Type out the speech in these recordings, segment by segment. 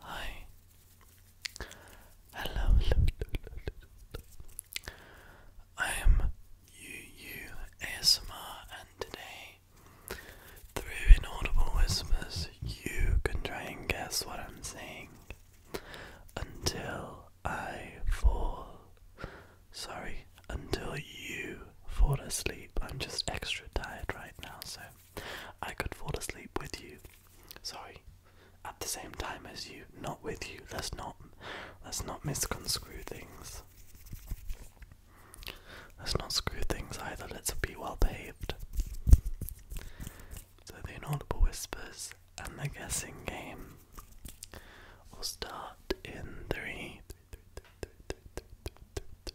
Hi. Hello, I am You ASMR and today through inaudible whispers you can try and guess what I'm saying until I fall. Sorry, until you fall asleep. I'm just extra tired right now, so I could fall asleep with you. Sorry, at the same time as you, not with you. Let's not let's not misconstrue things. Let's not screw things either. Let's be well behaved. So the inaudible whispers and the guessing game will start in three. three, three, three,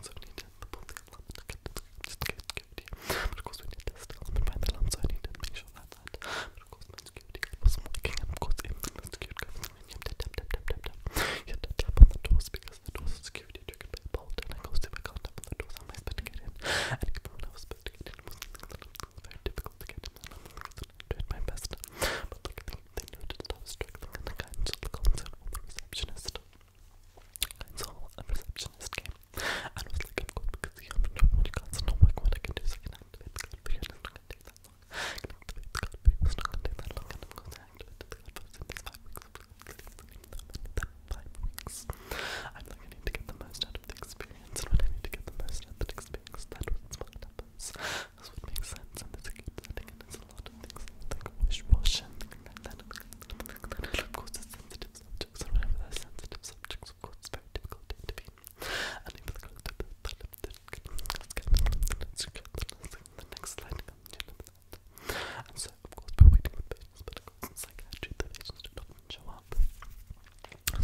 So we need to pull the alarm to get to just to get security. But of course we need to still and find the alarm, so I need to make sure that that. But of course my security guard wasn't working, and of course if the security guard was you have to tap tap tap tap tap. You have to tap on the doors because the doors are security triggered by a bolt, and I go if I can't tap on the doors, how am I supposed to get in? And even when I was supposed to get in, it was very difficult to get in. And I tried my best, but like I think they noted love struggling and the guidance of the concert on the receptionist. Council, a receptionist came and was like, I'm good because you haven't done what you can't, so no work what I can do, so I can activate the card for you, it's not going to take that long. I can activate the card for you, it's not going to take that long, and I'm going to activate the card for you in these five weeks, that five I'm like, I need to get the most out of the experience, and when I need to get the most out of the experience, that's what's what happens. This would make sense in this game setting, and it's a lot of things like wish wash and things Of course, it's sensitive subjects, and whenever they're sensitive subjects, of course, it's very difficult to intervene. And so, of course, we're waiting with patients, but of course, in psychiatry, the patients do not show up.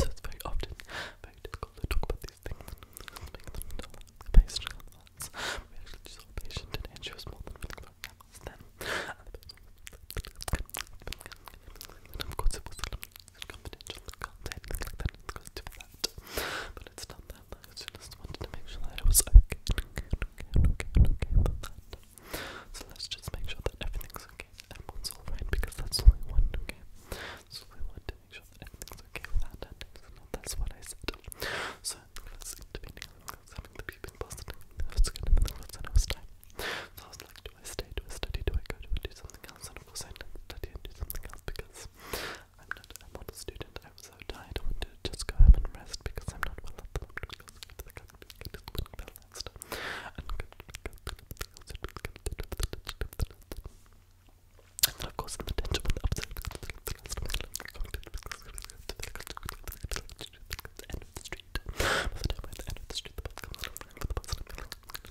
So, it's very often very difficult to talk about these things We actually saw a patient and she was more than willing to help us then. And of course it was confidential, I can't say anything like that, it goes to that. But it's not that long, so I just wanted to make sure that it was okay, okay, okay, okay, okay for that. So let's just make sure that everything's okay, everyone's alright, because that's only one, okay? That's only to make sure okay with our that's what I said. So, let's intervening. Let's having the people positive. That's good. And then let's it was time. So I was like, do I stay? Do I study? Do I go? Do I do something else? And of course, I didn't study and do something else because I'm not. I'm student. I'm so tired. I want to just go home and rest because I'm not well at the moment. And of course, the gentleman of the end of the street. By the time we're at the end of the street, the bus comes around for the bus.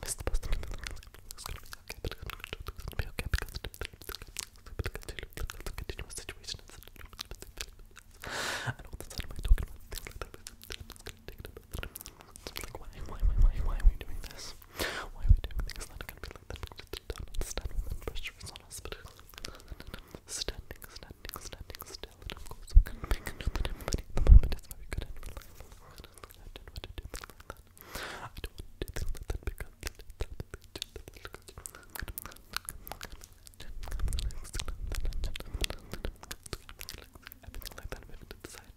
Miss the bus. It's going to be okay, but it's going to be okay because it's a continuous situation. And all the time we're talking about things like that why, why, why, why, are we doing this? Why are we doing things that can be like that? do standing, standing, standing of course we can make know that everybody the moment is very good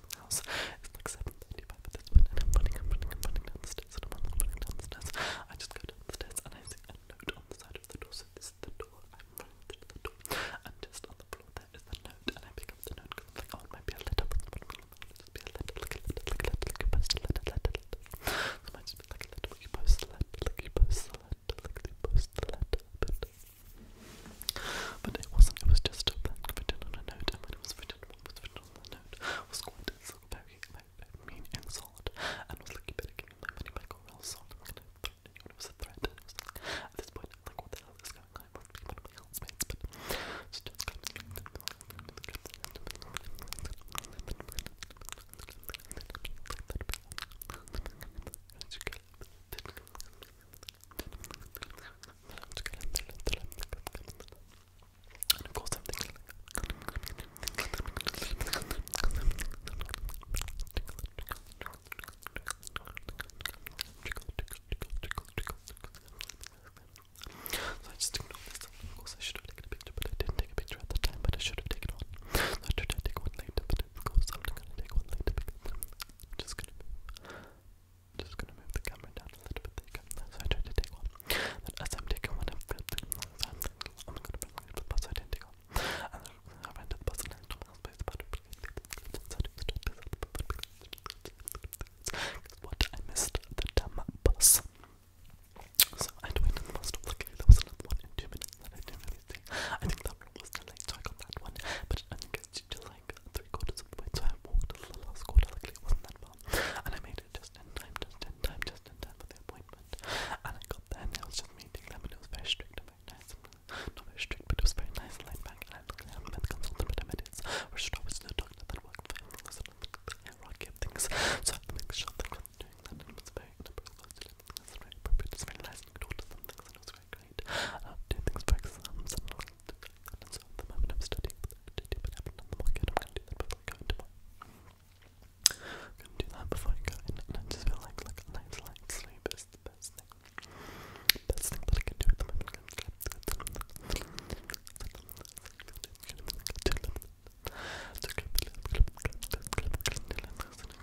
the house. It's like 7.35 at this point, and I'm running, I'm running, I'm running down the stairs, and I'm running, running down the stairs. I just go down the stairs, and I see a note on the side of the door, so this is the door. I'm running to the door, and just on the floor there is the note, and I pick up the note, because I'm like, oh, it might be a letter, but it's not going to be a letter, like a letter, like a letter, like a post, letter, letter, letter. So it might just be like a letter, like you post the letter, like you post the letter, like you post the letter, but... But it wasn't, it was just a blank written on a note, it was written, what was written on the note was quite so very, very mean and solid, and was like, you better give me my money back or else I'm it was a threat, at this point, I'm like, what the hell is going on, and of course, I'm thinking. So I just ignored this. Of course, I should have taken a picture, but I didn't take a picture at the time. But I should have taken one. So I should have taken one later, but of course, I'm not going to take one later because I'm just gonna Just gonna move the camera down a little bit. So I tried to take one. But as I'm taking one, I'm flipping. So i I'm gonna bring one to the bus. I did take one. And I ran to the bus and I told my it. what? I missed the damn bus. So I waited in the bus. Luckily, there was another one in two minutes I didn't really see. I think that camera was still like tight on that one, but it only gets you like three quarters of the way, so I walked to the last quarter, luckily it wasn't that far, and I made it just in time, just in time, just in time for the appointment, and I got there and I was just meeting them, and was very strict and very nice, not very strict, but it was very nice and laid back, and I luckily haven't the consultant, but I met his restorative to the that worked for him, because I don't things, so I had to sure that I was doing that, and it very inappropriate, it very appropriate, it very nice, I love to things for exams and I'm studying I haven't I'm going to do that before I go I'm going to do that before I go I just feel like, like, a nice light the best thing. Best thing that I can do at the moment.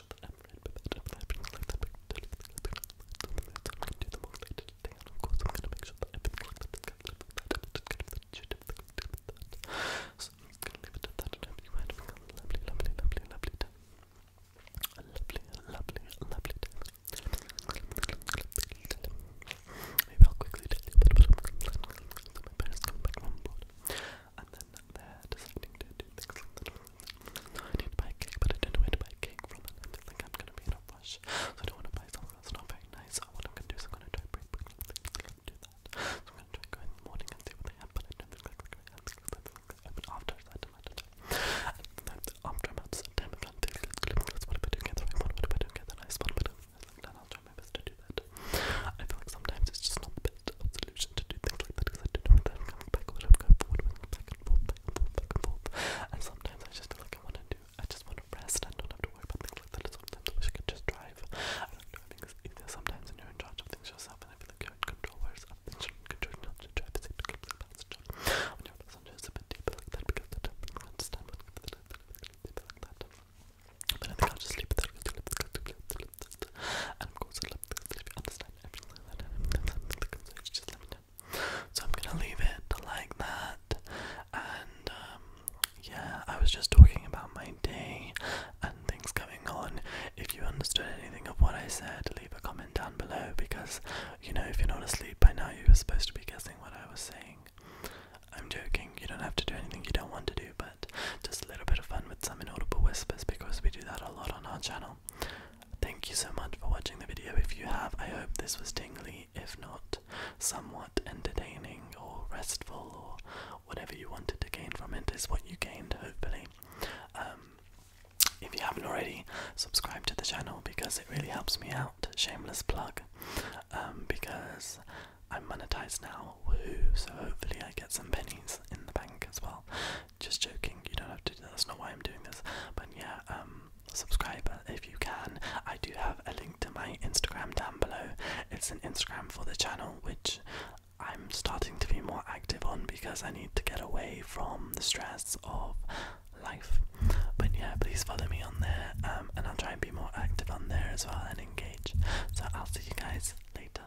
so that I'm red, but that I'm not like that. I'm do the more later today, and of course I'm gonna make sure that everything like that is covered up. I'm just gonna shit up that. So I'm just gonna leave it at that, and hope you had a lovely, lovely, lovely, lovely day. A lovely, lovely, lovely day. Maybe I'll quickly tell you a bit about my parents coming back on board, and then they're deciding to do things like that. I need to buy a cake, but I don't know where to buy a cake from, and I feel like I'm gonna be in a rush. So I don't wanna buy something that's not very nice. So what I'm gonna do is I'm gonna try break break and do that. So I'm gonna try go in the morning and see what they have, but I don't think like like I think open after that and after about September and that's what if I do get the right one, what if I don't get the nice one, but I like that I'll try my best to do that. I feel like sometimes it's just not the best of solution to do things like that because I don't know whether I'm coming back or whether I'm going forward, whether I'm back and forth, back and forth, back and forth. And sometimes I just feel like I want to do, I just want to rest and not have to worry about things like that. And sometimes I wish I could just drive. I don't know, I think it's easier sometimes when you're in charge of things yourself and I feel like you're in control, whereas I've been in control not to drive, it's a complete passenger. When you're a passenger, it's a bit deeper like that because I don't understand what like that. But I think I'll just sleep with that i am So I'm gonna leave it like that. And um, yeah, I was just talking about my day and things coming on. If you understood anything of what I said, leave a comment down below because you know if you're not asleep by now, you were supposed to be guessing what I was saying. I'm joking, you don't have to do anything you don't want to do, but just a little bit of fun with some inaudible whispers because we do that a lot on our channel. Thank you so much for watching the video. If you have, I hope this was tingly, if not somewhat entertaining or restful or whatever you wanted to gain from it is what you gained, hopefully. Um, if you haven't already, subscribe to the channel because it really helps me out. Shameless plug. Um, because I'm monetized now, woohoo, so hopefully I get some pennies in the bank as well. Just joking, you don't have to That's not why I'm doing this. But yeah, um, subscribe if you can. I do have a link to my Instagram down below. It's an Instagram for the channel, which I'm starting to be more active on because I need to get away from the stress of life. But yeah, please follow me on there, um, and I'll try and be more active on there as well and engage. So I'll see you guys later.